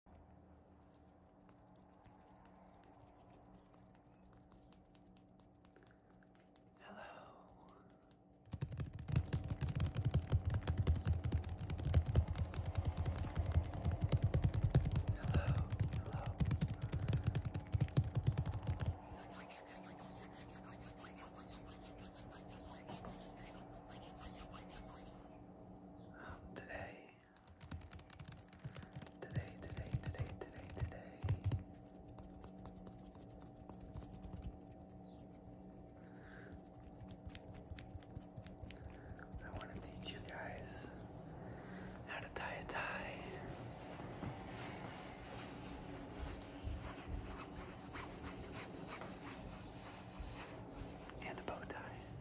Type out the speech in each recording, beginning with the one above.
Hello. Hello. Hello. today Today, today, today, today, today. I want to teach you guys how to tie a tie. And a bow tie.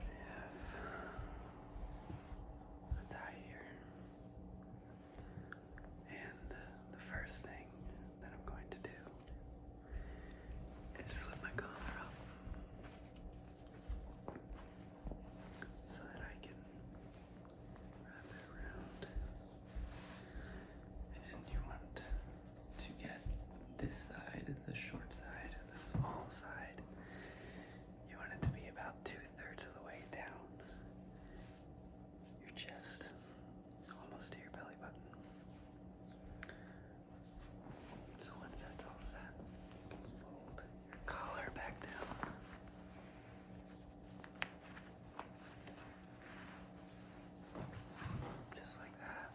I have a tie here. And uh, the first thing that I'm going to do is flip my collar up so that I can wrap it around. And you want to get this side, the short side, the small side, you want it to be about two thirds of the way down your chest, almost to your belly button. So once that's all set, fold your collar back down. Just like that.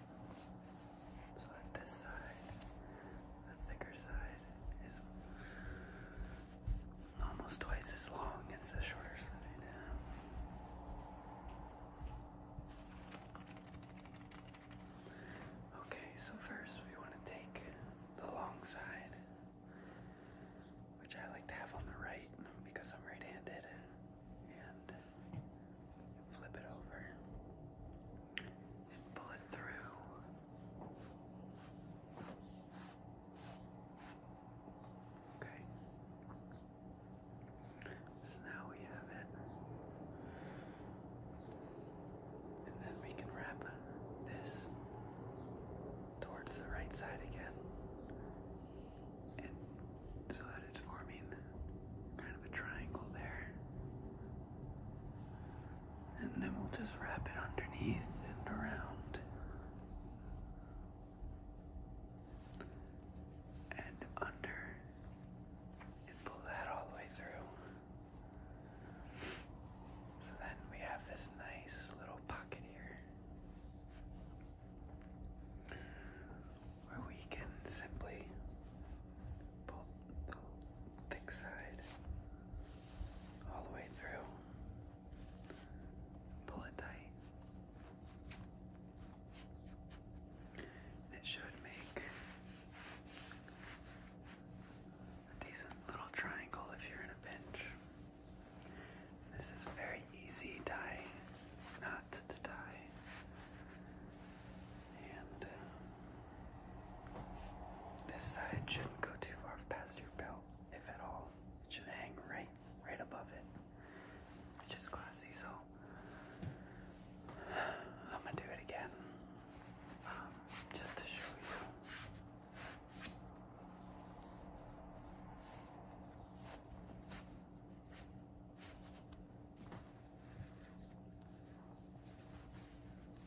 So on this side, the thicker side is almost twice as long as the shorter side. Okay, so first we want to take the long side, which I like to have on the right because I'm right handed, and flip it over and pull it through. Okay. So now we have it. And then we can wrap this towards the right side again. And so that it's forming kind of a triangle there. And then we'll just wrap it underneath and around. And under. And pull that all the way through. So then we have this nice little pocket here where we can simply pull the thick side all the way through, pull it tight. It should make a decent little triangle if you're in a pinch. This is a very easy tie not to tie. And uh, this side shouldn't go too far past your belt, if at all. It should hang right, right above it. Which is classy, so I'm gonna do it again, um, just to show you.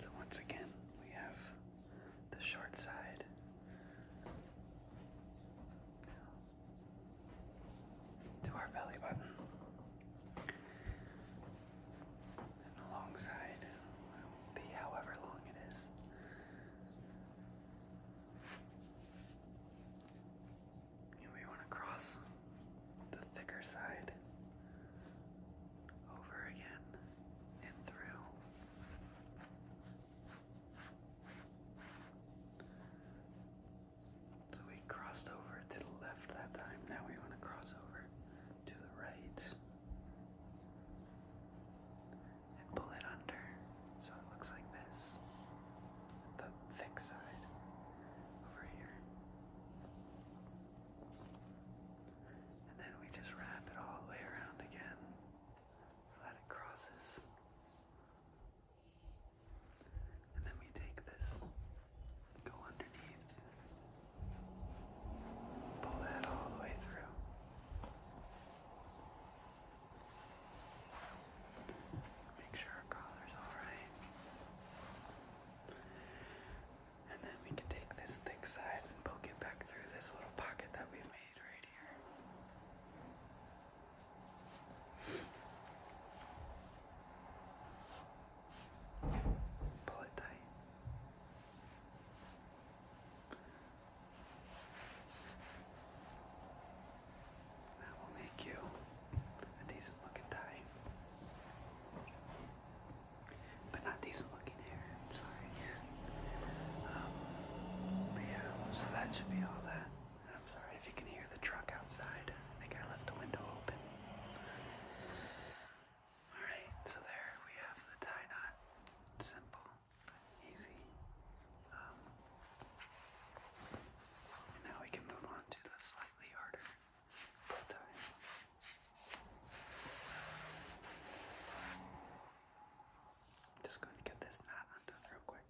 So once again, we have the short side. To our belly button. And alongside will be however long it is and we want to cross the thicker side over again and through. So we crossed over to the left that time, now we want to cross over to the right and pull it under. So it looks like this. The thick side over here. And then we just wrap it all the way around again so that it crosses. And then we take this, go underneath, pull that all the way through. Make sure our collar's alright. And then we can take this thick side and poke it back through this little pocket that we've made right here. Pull it tight. That will make you a decent looking tie. But not decent looking hair, I'm sorry. Um, but yeah, so that should be all that. I'm sorry if you can hear the truck outside. I think I left the window open. Alright, so there we have the tie knot. Simple easy. Um, now we can move on to the slightly harder pull just going to get this knot undone real quick.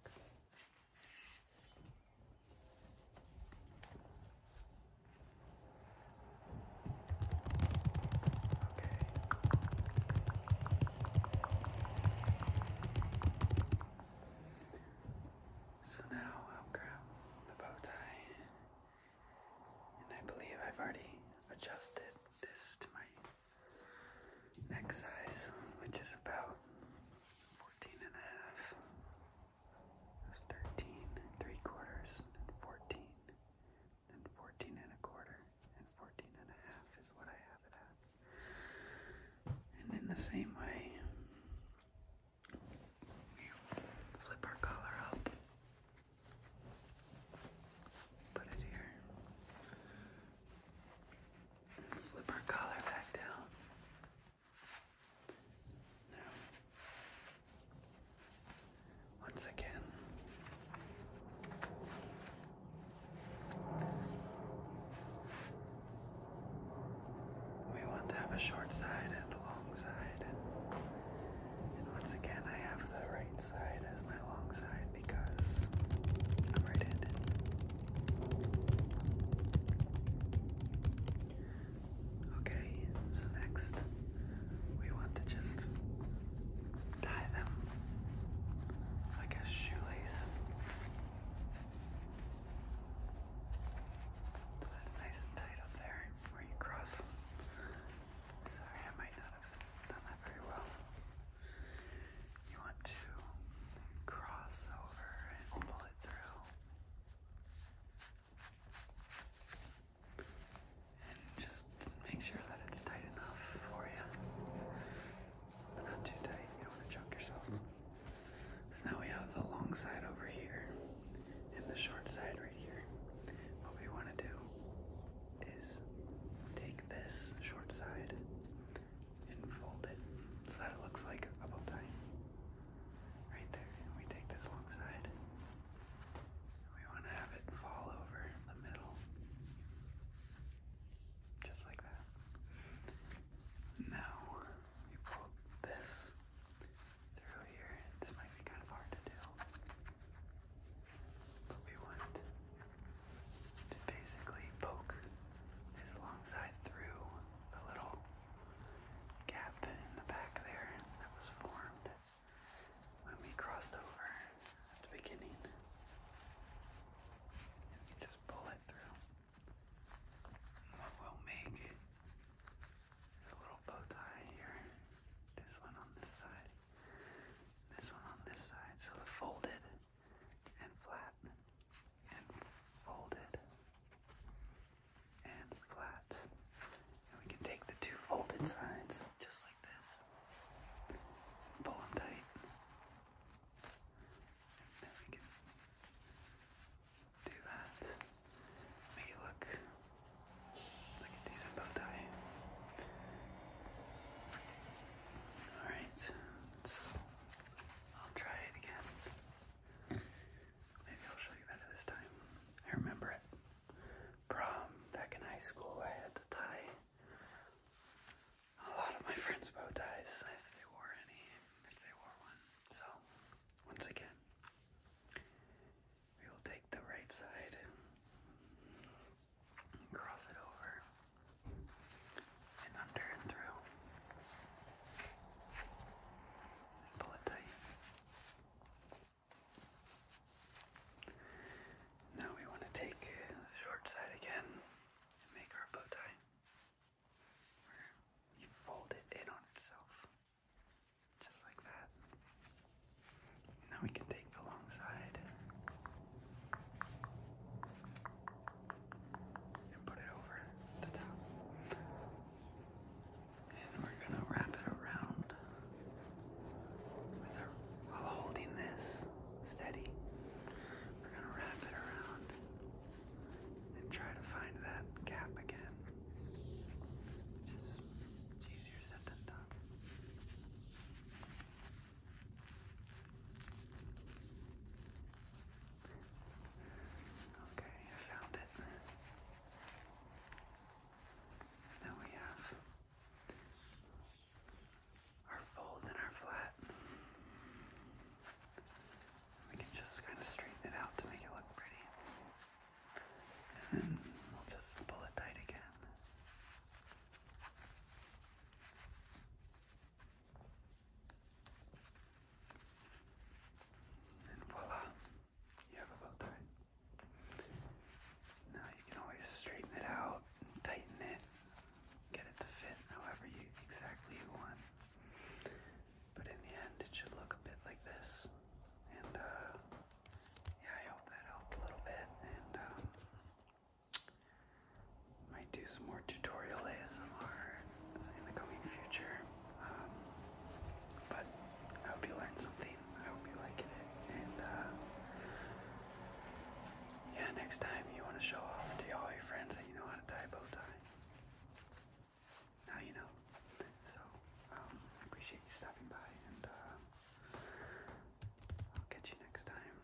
So now i grab the bow tie, and I believe I've already adjusted this to my neck size, which is about 14 and a half, quarters, 14 and 14 and a quarter and 14 is what I have it at. And in the same way, flip our collar up, put it here, flip our collar back down. Now, once again. We want to have a short side and a long side. And once again, I have the right side as my long side because I'm right handed. Okay, so next we want to just tie them like a shoelace. So that's nice and tight up there where you cross Sorry, I might not have done that very well. You want to cross over and pull it through and just make sure that it's tight enough for you. But not too tight, you don't want to choke yourself. Mm-hmm. So now we have the long side over here and the short side right here. What we want to do is take this short side and fold it so that it looks like a bow tie. Right there, and we take this long side we want to have it fall over in the middle. Just like that. Now we pull this through here. This might be kind of hard to do. But we want to basically poke this alongside through the little gap in the back there that was formed when we crossed over at the beginning. we just pull it through. What we'll make is a little bow tie here. This one on this side. This one on this side. So the folded and flat and folded and flat. And we can take the two folded sides just like this, and pull them tight, and then we can do that, make it look like a decent bow tie. Alright, I'll try it again. Maybe I'll show you better this time. I remember it prom back in high school, I had to tie a lot of my friends' bow ties if they wore any, if they wore one. So, once again, we will take the right side cross it over and under and through and pull it tight. Now we want to take the short side again and make our bow tie where fold it in on itself, just like that. Now we can take the long side and put it over the top and we're going to wrap it around while holding this steady. We're going to wrap it around and try to find that gap again. just, it's easier said than done. Okay, I found it. Then we have our fold and our flat. We can just kind of straighten it out to make it look pretty. And then we'll just pull it tight again. And voila, you have a bow tie. Now you can always straighten it out, tighten it, get it to fit however you exactly you want. But in the end, it should look a bit like this. And uh, yeah, I hope that helped a little bit. And um, might do some more tutorial ASMR in the coming future. Um, but I hope you learned something. I hope you liked it. And uh, yeah, next time you want to show off to all your friends that you know how to tie a bow tie. Now you know. So um, I appreciate you stopping by, and uh, I'll catch you next time.